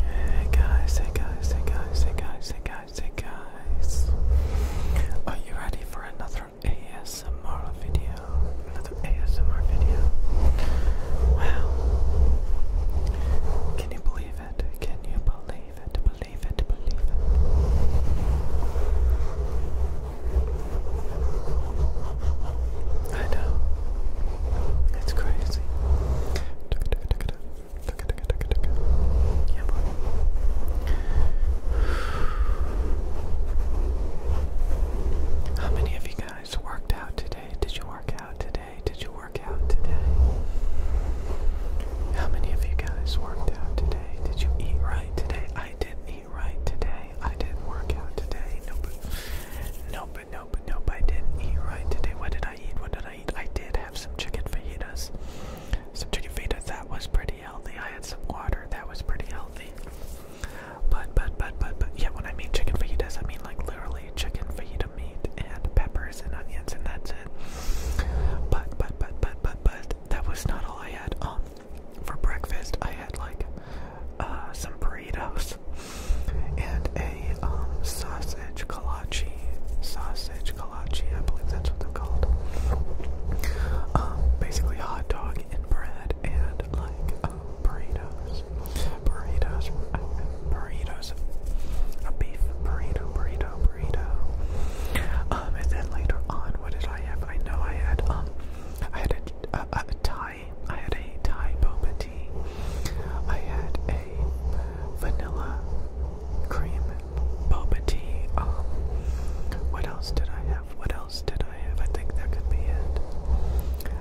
Hey guys, hey guys, hey guys, hey guys, hey guys, hey guys. Are you ready for another ASMR video? Another ASMR video? Wow. Can you believe it? Can you believe it? Believe it, believe it. I know. That's crazy. How many of you guys worked out today? Did you work out today? Did you work out today? How many of you guys worked out today? Did you eat right today? I didn't eat right today. I didn't work out today. Nope. Nope but no, but no, but I didn't eat right today. What did I eat? What did I eat? I did have some chicken fajitas. Some chicken fajitas, that was pretty healthy. I had some water, that was pretty healthy. But, but, but, but, but, yeah, when I mean chicken fajitas, I mean like literally chicken fajita meat and peppers and onions and that's it. But, but, but, but, but, but, that was not all I had. Um, for breakfast, I had like uh, some burritos and a um, sausage kolache. Sausage kolache, I believe that's what they're called. Um, basically, hot dog and bread and like um, burritos. Burritos. Uh, burritos. A beef burrito, burrito, burrito. Um, and then later on, what did I have? I know I had um, I had a, a, I had a Thai boba I had a vanilla cream boba tea. Um, what else did I have? What else did I have? I think that could be it.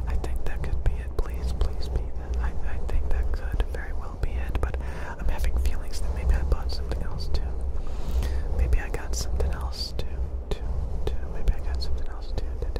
I think that could be it. Please, please be I, think that could very well be it, but I'm having feelings that maybe I bought something else too. Maybe I got something else too. too, Maybe I got something else too. Uh,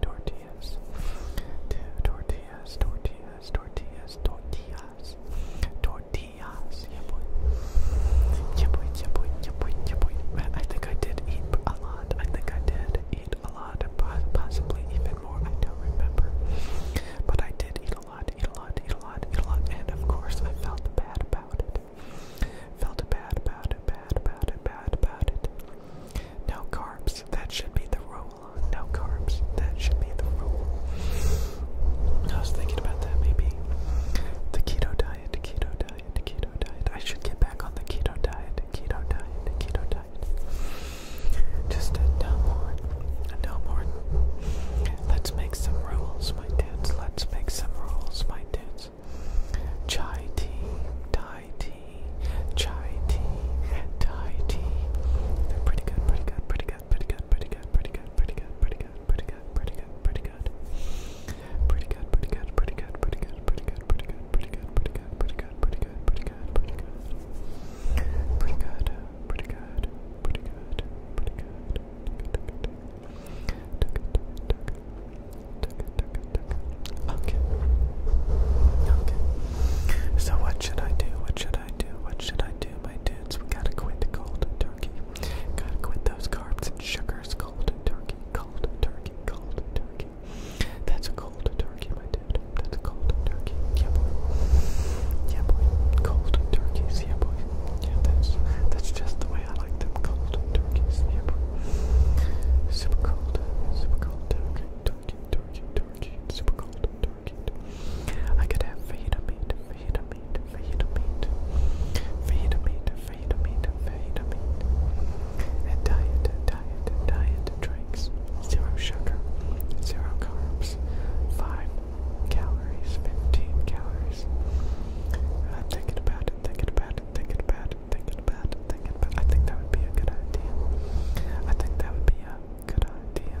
tortillas, tortillas, tortillas, tortillas, tortillas, tortillas. Yeah boy, yeah boy, yeah boy, yeah boy, Man, I think I did eat a lot. I think I did eat a lot, possibly even more. I don't remember, but I did eat a lot, eat a lot, eat a lot, eat a lot, and of course I felt bad about it. Felt bad, bad, bad, bad, bad about it. No carbs, that should be the rule. No carbs, that should be the rule. I was thinking about that maybe. The keto diet, keto diet, keto diet. I should get back on the keto diet, keto diet, keto diet. Just a no more, no more. Let's make some rules, my dudes. Let's make some rules, my dudes. Chai tea, Thai tea, tea, chai tea, Thai tea. They're pretty good, pretty good, pretty good, pretty good, pretty good, pretty good, pretty good, pretty good, pretty good, pretty good, pretty good. Pretty good, pretty good, pretty good, pretty good, pretty good, pretty good, pretty good, pretty good, pretty good, pretty good, pretty good, pretty good. Pretty good, pretty good, pretty good, pretty good. Okay. Okay. So what should I do? What should I do? What should I do, my dudes? We gotta quit the cold turkey. Gotta quit those carbs and sugars. Cold turkey. Cold turkey. Cold turkey. That's a cold turkey, my dude. That's a cold turkey. Yeah boy. Yeah boy. Cold turkeys. Yeah boy. Yeah, that's that's just the way I like them. Cold turkeys. Yeah boy. Super cold. Super cold turkey turkey, turkey, super cold turkey. I could have fajita meat, fajita meat, fajita meat, fajita meat, fajita meat, fajita meat. And diet, diet, diet drinks, zero sugar, zero carbs, five calories, fifteen calories. I'm thinking about it, thinking about it, thinking about it, thinking about it, thinking about it. I think that would be a good idea. I think that would be a Good idea.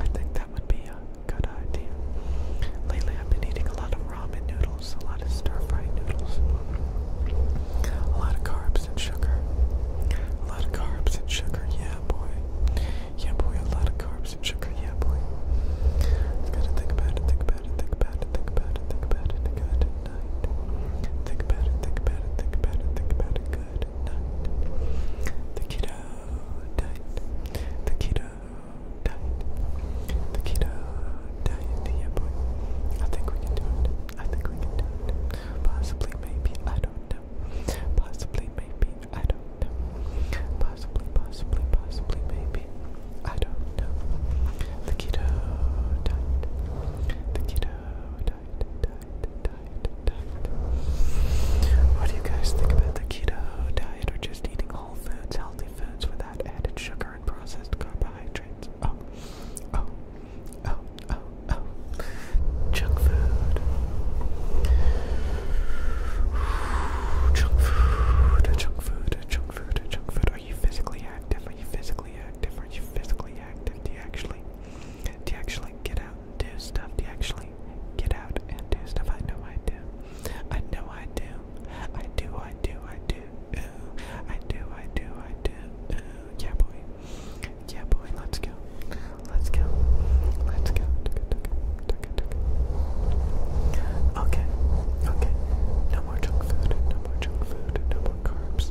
I think that would be a good idea. Lately, I've been eating a lot of ramen noodles, a lot of stir fried noodles, a lot of carbs and sugar. A lot of carbs and sugar, yeah, boy. Yeah, boy, a lot of carbs and sugar, yeah, boy. Gotta think about it, think about it, think about it, think about it, think about it, think about it night. Think about it, think about it, think about it, think about it. The kiddo died. The kiddo died. The kiddo died. Yeah, boy. I think we can do it. I think we can do it. Possibly, maybe. I don't know. Possibly, maybe. I don't know. Possibly, possibly, possibly, maybe. I don't know. The kiddo died. The kiddo died. What do you guys think about the keto diet or just eating whole foods, healthy foods without added sugar and processed carbohydrates? Oh, oh, oh, oh, oh. Junk food. Junk food, junk food, junk food, junk food. Are you physically active? Are you physically active? Are you physically active? Do you actually do you actually get out do stuff. Do you actually get out and do stuff? I know I do. I know I do. I do, I do, I do. Ooh. I do, I do, I do. Ooh. Yeah, boy. Yeah, boy. Let's go. Let's go. Let's go. Okay. Okay. No more junk food. No more junk food. No more carbs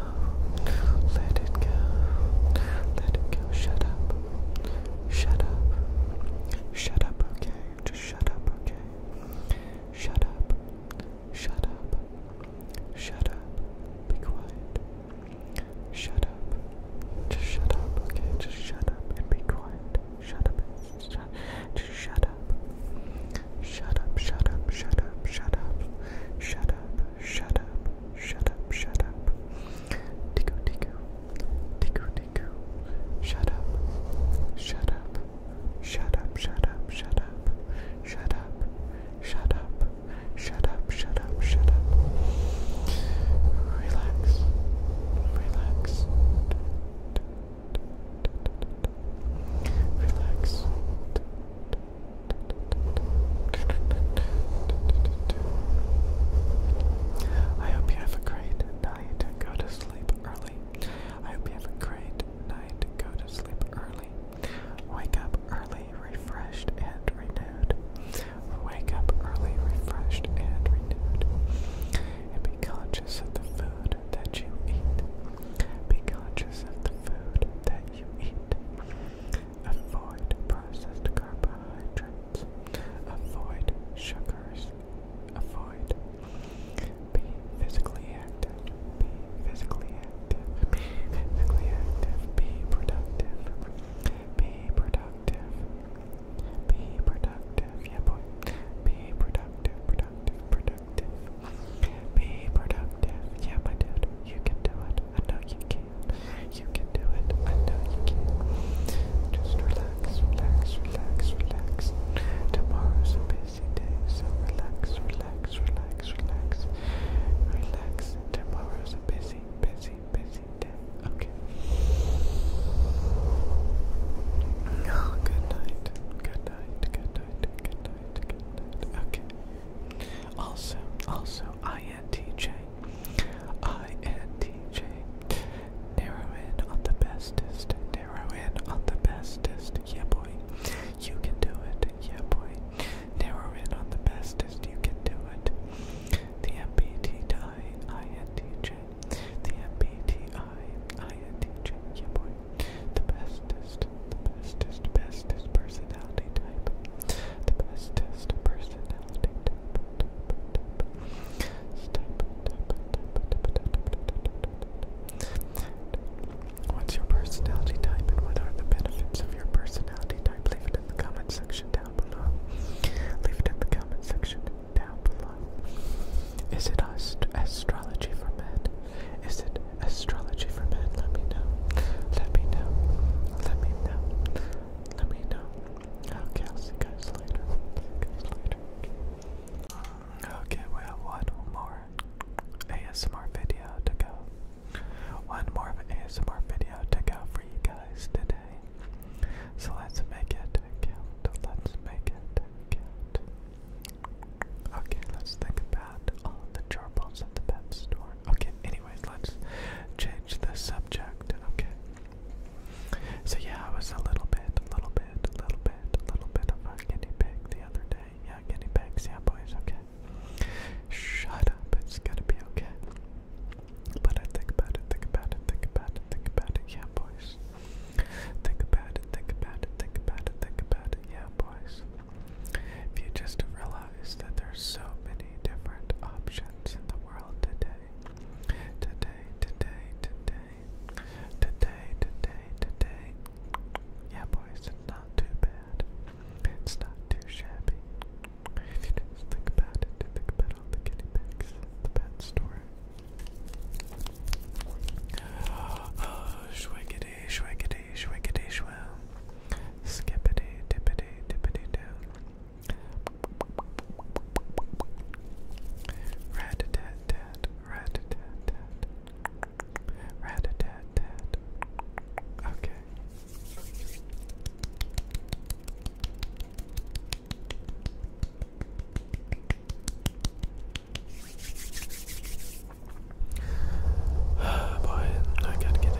Let it go. Let it go. Shut up. Shut up. Shut up, okay? Just shut up, okay? Shut up. Shut up. Shut up. Be quiet. Shut up. Just shut up, okay? Just shut up and be quiet. Shut up. Just shut, just shut up. Shut up, shut up, shut up, shut up. Shut up, shut up, shut up, shut up. Tico, tico, tico, tico. Shut up, shut up, shut up, shut up, shut up, shut up, shut up, shut up, shut up, relax. Relax. Relax. I hope you have a great night. Go to sleep early. I hope you have a great night. Go to sleep early. Wake up early, refreshed and renewed. Wake up early, refreshed and renewed. And be conscious of the food that you eat. Be conscious of the food that you eat. Avoid processed carbohydrates. Avoid sugars. Avoid. Be physically active. Be physically active. Be physically active. Be productive. Be productive. Be productive. Yeah, boy. Be productive. Productive. Productive. Be productive. Yeah, my dude. You can do it it. I know you can. You can do it. I know you can. Just relax, relax, relax, relax. Tomorrow's a busy day, so relax, relax, relax, relax. Relax. Tomorrow's a busy, busy, busy day. Okay. Oh, good night. Good night. Good night. Good night. Good night. Okay. Also, also, I INTJ. Narrow in on the bestest. Narrow in on the bestest. Yeah, boy. You can do it. Yeah, boy. Narrow in on the bestest. You can do it. The MBTI The MBTI Yeah, boy. The bestest. The bestest. Bestest personality type. The best test of personality. What's your personality type and what are the benefits of your personality type? Leave it in the comment section down below. Leave it in the comment section down below. Is it ast astrology for men? Is it astrology? astrology for men, let me know. Let me know. Let me know. Let me know. Okay, I'll see you guys later. See you guys later. Okay, we have one more ASMR video to go. One more ASMR video to go for you guys today. So let's make it count. Let's make it count. Okay, let's think about all the gerbils at the pet store. Okay, anyway anyways, let's change the subject. Okay. So yeah, I was a little bit, a little bit, a little bit, a little bit of a guinea pig the other day. Yeah, guinea pigs. Yeah, boys. Okay. Shut up. It's gonna be okay. But I think about it. Think about it. Think about it. Think about it. Yeah, boys. Think about it. Think about it. Think about it. Think about it. Yeah, boys. If you just realize that there's so many different options in the world today. Today, today, today. Today, today, today. Yeah boys, it's not too bad. It's not too shabby. If you just think about it, think about all the guinea pigs at the pet store. Oh, shwiggity, shwiggity, shwiggity, shwell. Skippity dippity dippity doo. Rat a tat tat, rat a tat tat, rat a tat tat. Okay. Oh boy, I gotta get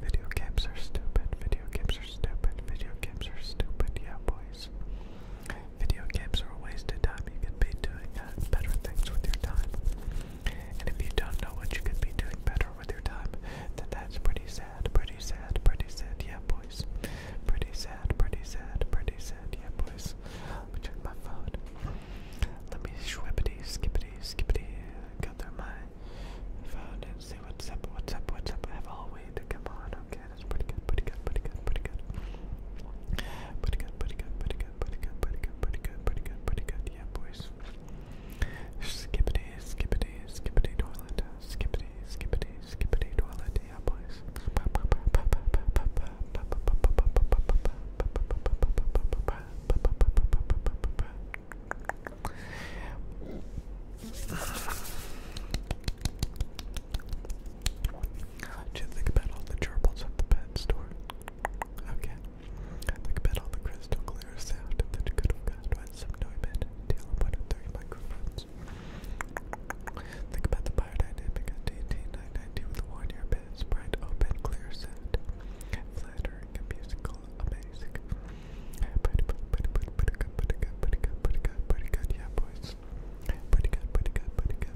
Video games are stupid. Video games are stupid. Video games are stupid. Yeah, boys. Video games are a waste of time. You could be doing uh, better things with your time. And if you don't know what you could be doing better with your time, then that's pretty sad. Pretty sad. Pretty sad. Yeah, boys. Pretty sad. Pretty sad. Pretty sad. Yeah, boys. check my phone. Let me swippity, skippity, skippity, go through my phone and see what's up, what's up, what's up. I have all the way to come on. Okay, that's pretty good, pretty good, pretty good, pretty good. Pretty good, pretty good, pretty good, pretty good, pretty good, pretty good, pretty good, pretty good. Yeah, boys. Skippity, skippity, skippity toilet. Skippity, skippity, skippity toilet. Yeah, boys. Just think about all the gerbils at the pet store. Okay. Think about all the crystal clear sound that you could have got with some Neumann 30 microphones. Think about the biodynamic DT990 with one ear bit, spread open, clear sound, flattering and musical still amazing. Pretty, pretty, pretty, pretty good, pretty good, pretty good, pretty good, pretty good, yeah, boys. Pretty good, pretty good, pretty good,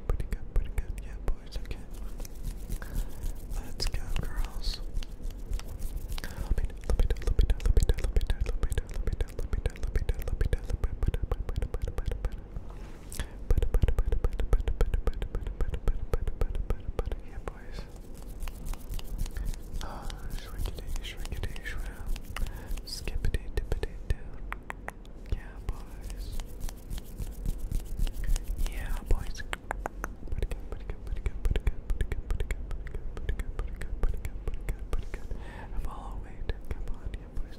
pretty good, pretty good, yeah, boys. Okay, let's go, girls. Let me, let me, let me, let me, let me, let me, let me, let me, let me, let me, let me, yeah, boys. Ah, Yeah, boys. Yeah, boys. Pretty good, pretty good, pretty good, pretty good, pretty good, pretty good, pretty good, pretty good, pretty good, pretty good, pretty good, pretty good. I'm Come on, yeah, boys.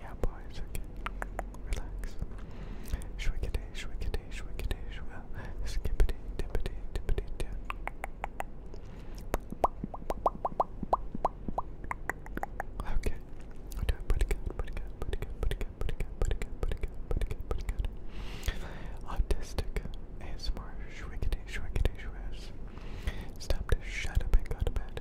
Yeah, boys, okay. Relax. Shwickity, shwickity, shwickity, shwa. Uh, skippity, tippity, tippity, tip. Okay. I'm doing pretty good, pretty good, pretty good, pretty good, pretty good, pretty good, good, pretty good, good. Autistic ASMR shwickity, shwickity, shwiz. Uh, stop to shut up and go to bed.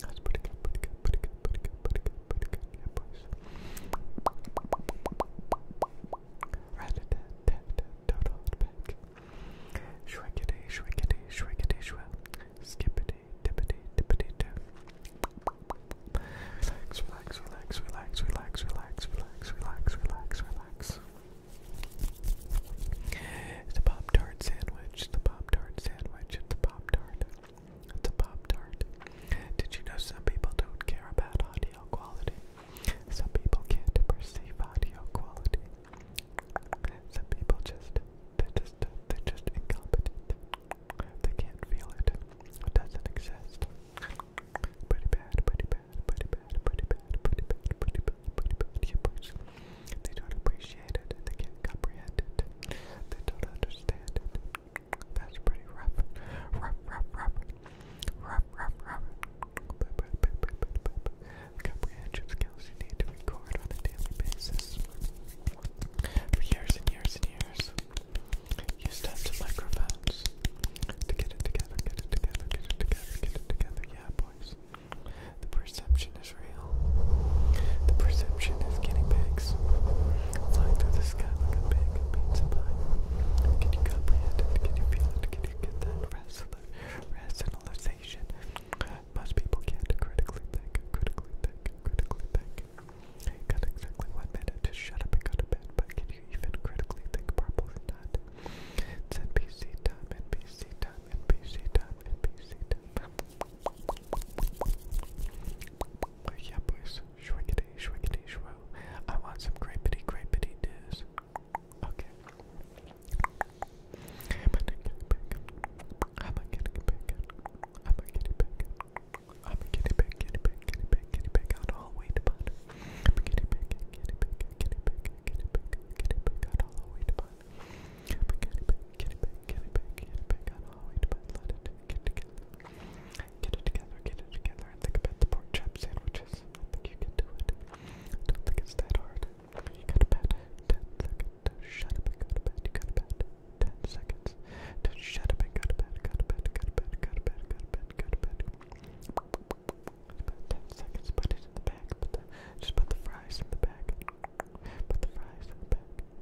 That's pretty good, pretty good, pretty good, pretty good, pretty good, pretty good. Yeah, boys. Rat a tat tat tat toad back. Shrinkity, shrinkity, shrinkity, shrink. Skippity, dippity, dippity, dip. Relax, relax, relax, relax, relax, relax, relax, relax, relax, relax. It's a Pop Tart sandwich, the Pop Tart sandwich, it's a Pop Tart. It's a Pop Tart. Did you know some people don't care about audio quality? Some people can't perceive audio quality. Some people just, they're just, they just incompetent. They can't feel it. It doesn't exist. Pretty bad, pretty bad, pretty bad, pretty bad, pretty They don't appreciate it. They can't comprehend it. They don't understand it. That's pretty rough. Rough, rough, rough. Rough, rough, rough. Comprehension skills you need to record on a daily basis. For years and years and years, used tons of microphones to get it together, get it together, get it together, get it together. Yeah, boys. The perception is real. The perception is guinea pigs flying through the sky like a big Can you comprehend Can you feel it? Can you get that rationalization? Most people can't critically think, critically think, critically think. You got exactly one minute to shut up and go to bed, but can you even critically think properly not? It's yeah, boys. Shwiggity, shwiggity, shwo. I want some grapity, grapity diz. Okay. I'm a kitty pig. I'm a kitty pig. I'm a kitty pig. I'm a kitty pig, kitty pig, kitty pig, kitty pig out all the way to bud. I'm a kitty pig, kitty pig, kitty pig, kitty pig, kitty pig out all the way to bud. I'm a kitty pig, kitty pig, kitty pig, kitty pig out all the way to bud. Let it get together. Get it together, get it together, think about the pork chop sandwiches. think you can do it. don't think it's that hard. You got about 10 seconds to shut up and go to bed. You got about 10 seconds to shut up and go to bed, go to bed, go to bed, go to bed, go to bed, go to bed. 10 seconds, put it in the bag. just put the fries in the bag. Put the fries in the bag.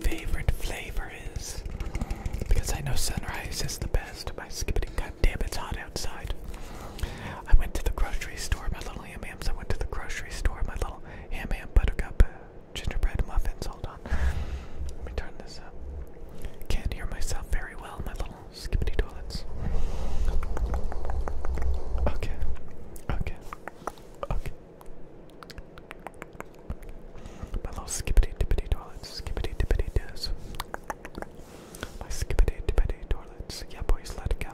favorite flavor is. Because I know sunrise is the best My skipping. God damn, it's hot outside. I went to the grocery store, my little ham hams. I went to the grocery store, my little ham ham buttercup uh, gingerbread muffins. Hold on. Let me turn this up. Can't hear myself very well, my little skippity toilets. Okay. Okay. Okay. My little skippity dippity toilets, skippity dippity dis. My skippity dippity toilets, yeah boys, let it go.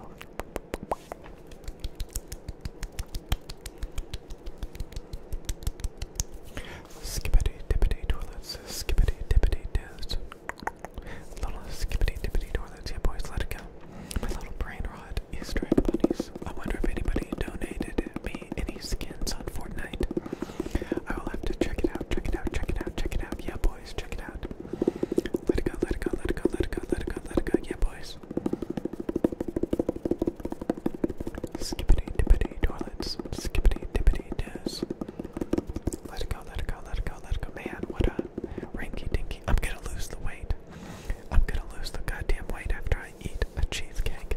Skippity dippity toilets, skippity dippity dis. Little skippity dippity toilets, yeah boys, let it go. My little brain rot is striped bunnies. I wonder if anybody donated me any any skins on Fortnite. I will have to check it out, check it out, check it out, check it out. Yeah boys, check it out. Let it go, let it go, let it go, let it go, let it go, let it go, yeah boys. Skippity dippity toilets. Skippity dippity does. Let it go, let it go, let it go, let it go. Man, what a ranky dinky. I'm gonna lose the weight. I'm gonna lose the goddamn weight after I eat a cheesecake.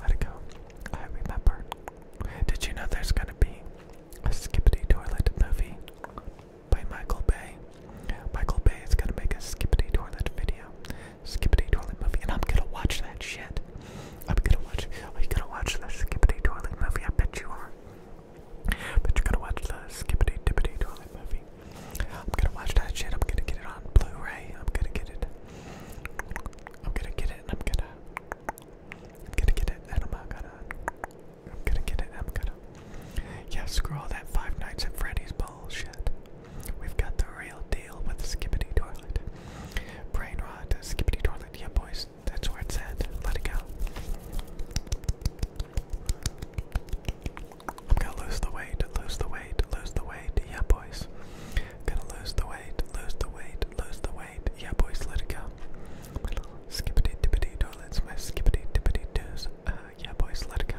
let it go. I remember. Did you know there's gonna be a Skippity Toilet movie by Michael Bay? Michael Bay is gonna make a Skippity Toilet video. Skippity Toilet movie, and I'm gonna watch that shit. I'm gonna watch. Are gonna watch the Skippity Toilet movie? I bet you are. But you're gonna watch the Skippity Dippity Toilet movie. I'm gonna watch that shit. I'm gonna get it on Blu-ray. I'm gonna get it I'm gonna get it and I'm gonna I'm gonna get it and I'm not gonna I'm gonna get it and I'm gonna Yeah, screw all that Five Nights at Freddy's bullshit. We've got the real deal with Skippity Toilet. Brain rot, Skippity Toilet, yeah boys, that's where it's at. Let it go. I'm gonna lose the weight, lose the weight, lose the weight, yeah boys. Gonna lose the weight, lose the weight, lose the weight. Yeah, boys, let it go. My little toilets, my skippity dippity doos. Uh, yeah, boys, let it go.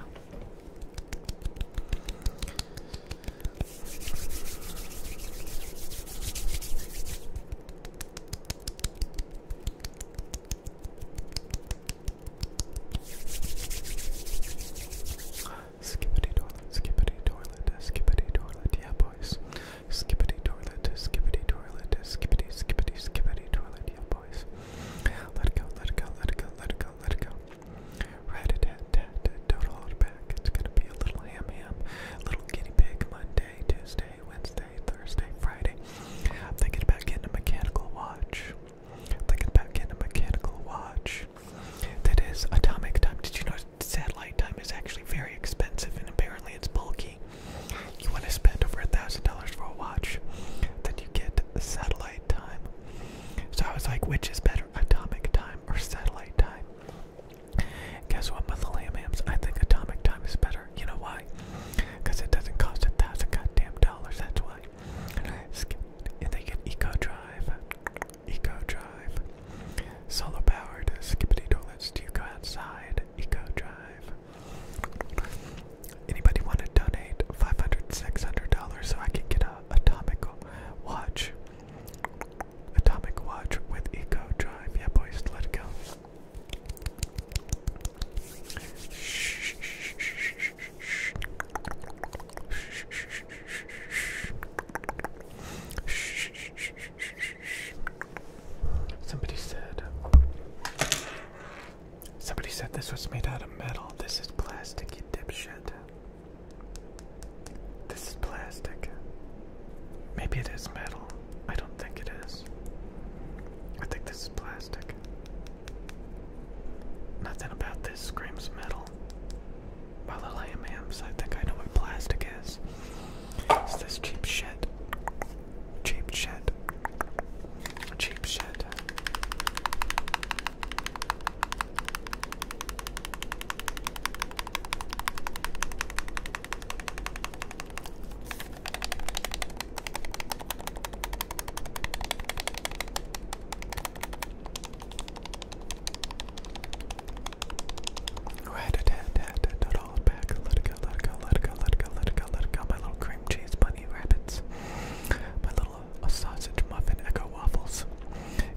Skippity toilet, skippity toilet, skippity toilet, yeah boys. Skippity toilet, skippity toilet, skippity, skippity, skippity toilet, yeah boys. Let it go, let it go, let it go, let it go, let it go. Right it tat tat, don't hold back. It's gonna be a little ham ham, little guinea pig Monday, Tuesday, Wednesday, Thursday, Friday. I'm thinking about getting a mechanical watch. I'm thinking about getting a mechanical watch that is atomic time. Did you know satellite time is actually very expensive and apparently it's bulky? You want to spend over a thousand dollars for a watch, then you get satellite time. So I was like, which is better, atomic time or satellite time? Guess what, Methylamiums? I think atomic time is better. You know why? Because it doesn't cost a thousand goddamn dollars, that's why. And they get Eco Drive. Eco Drive. Solar powered skippity toilets. Do you go outside? Eco Drive. Anybody want to donate $500, $600 so I can get a atomic watch? Atomic watch with Eco Drive. Yeah, boys, let it go. shh, shh, shh, shh, shh, shh, shh, shh Somebody said. Somebody said this was made out of metal. This is plastic, you dipshit. This is plastic. Maybe it is metal. I don't think it is. I think this is plastic. Nothing about this screams metal well. My little AMAMs, I think I know what plastic is. It's this cheap shit. Cheap shit. Cheap shit. Let it go, let it go, let it go, let it go, let it go, let it go. My little cream cheese bunny rabbits. My little uh, sausage muffin echo waffles.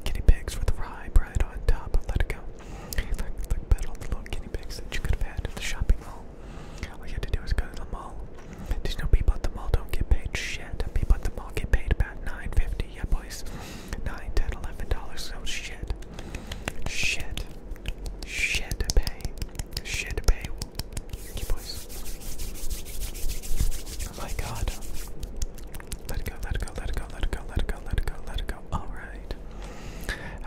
Guinea pigs with rye bread on top. Let it go. Like like bet all the little guinea pigs that you could have had at the shopping mall. All you had to do was go to the mall. There's no people at the mall don't get paid shit. People at the mall get paid about nine fifty, yeah boys nine, ten, eleven dollars. So shit, shit, shit to pay, shit to pay. You boys. Oh my God. Let it go. Let it go. Let it go. Let it go. Let it go. Let it go. Let it go. All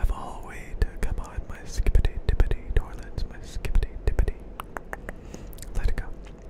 I've all wait. Come on, my skippity dippity toilets, my skippity dippity. Let it go.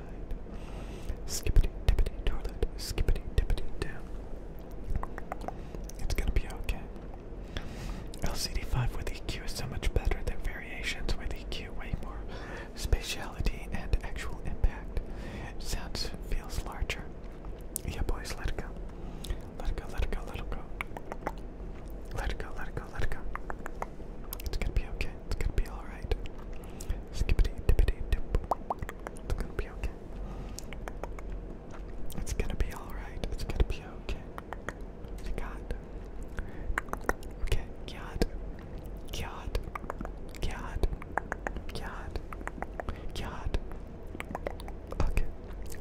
ride. tippity toilet, skippity tippity down. It's gonna be okay. LCD5 with EQ is so much better than variations with EQ, way more spatiality and actual impact. Sounds feels larger. Yeah, boys, let it go. Let it go, let it go, let it go. Let it go, let it go, let it go. It's gonna be okay. It's gonna be alright. Skippity dippity dip. It's gonna be okay. It's gonna be alright. It's gonna be okay. You got. Okay, God. God. God. God. God. Okay.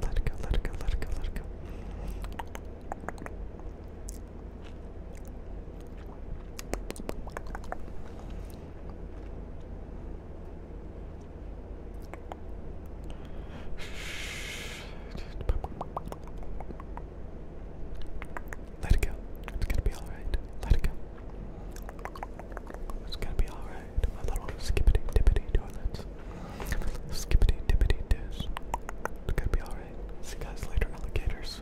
Let it go, let it go, let it go, let it go. Let it go. It's gonna be alright. Let it go. It's gonna be alright. My little skippity dippity It's gonna be alright. See you guys later, alligators.